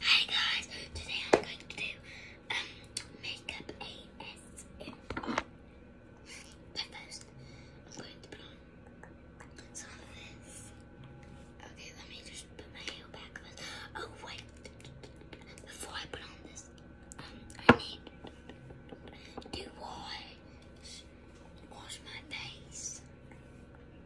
Hi guys, today I'm going to do um, makeup ASMR. But first, I'm going to put on some of this. Okay, let me just put my hair back on. Oh wait, before I put on this, um, I need to wash my face.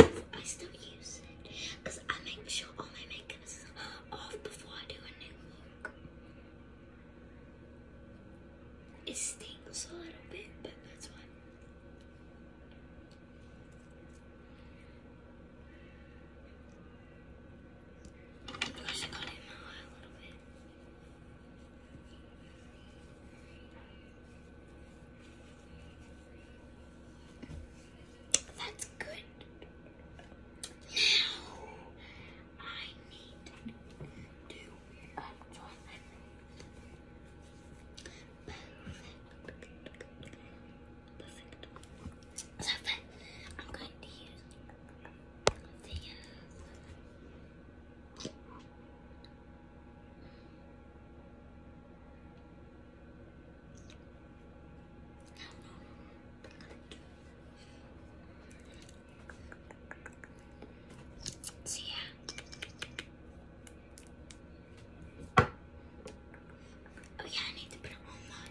I still use it because I make sure all my makeup is off before I do a new look. It stings a little bit, but that's why. I should cut in my a little bit. That's good. Now I need to do a toilet. Perfect. Perfect. So I'm going to use the uh, See Oh yeah, I need to put one more.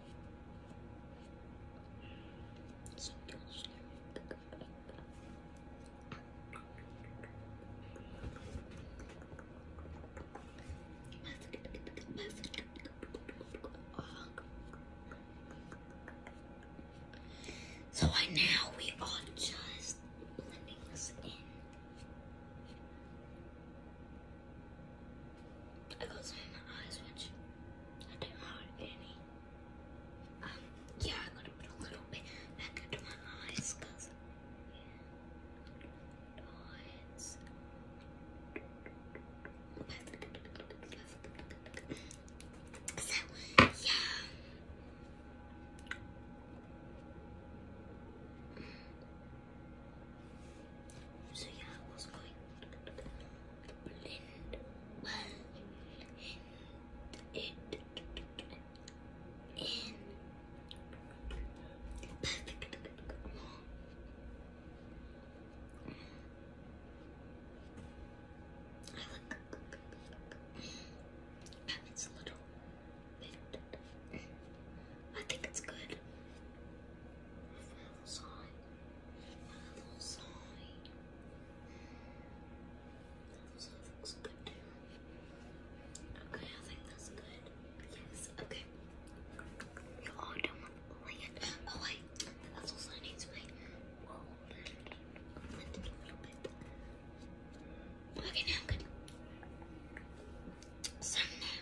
So right now we are just blending this in. I got some in my eyes, which I do not have any. Um, yeah, I got a little bit back into my eyes, cause yeah, eyes. So yeah. So yeah, I was going to blend well and it in I like and it's a little bit I think it's good. Okay, I think that's good. Yes, okay. You're all done with land. Oh wait, that's also needs to be Okay, now good. So now uh,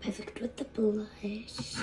Perfect with the blush.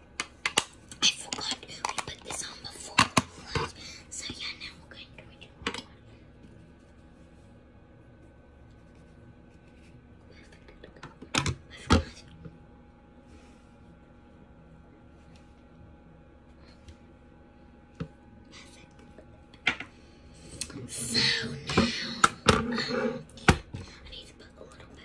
I forgot we put this on before So yeah, now we're going to do it. Perfect. So now um, I need to put a little bit.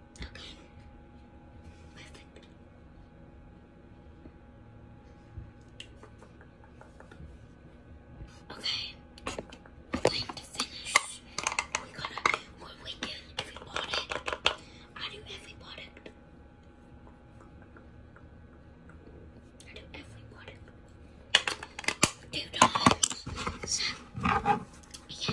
nothing. Nothing. Okay, time to finish. We're gonna do what we do every I do every product. I do Two dollars. So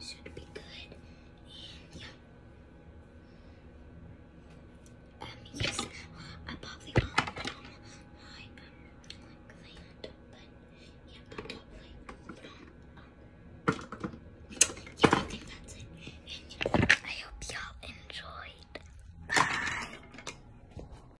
should be good. yeah. yes, I probably will um, my um, client, but yeah, probably yeah, I think that's it. I hope y'all enjoyed. Bye.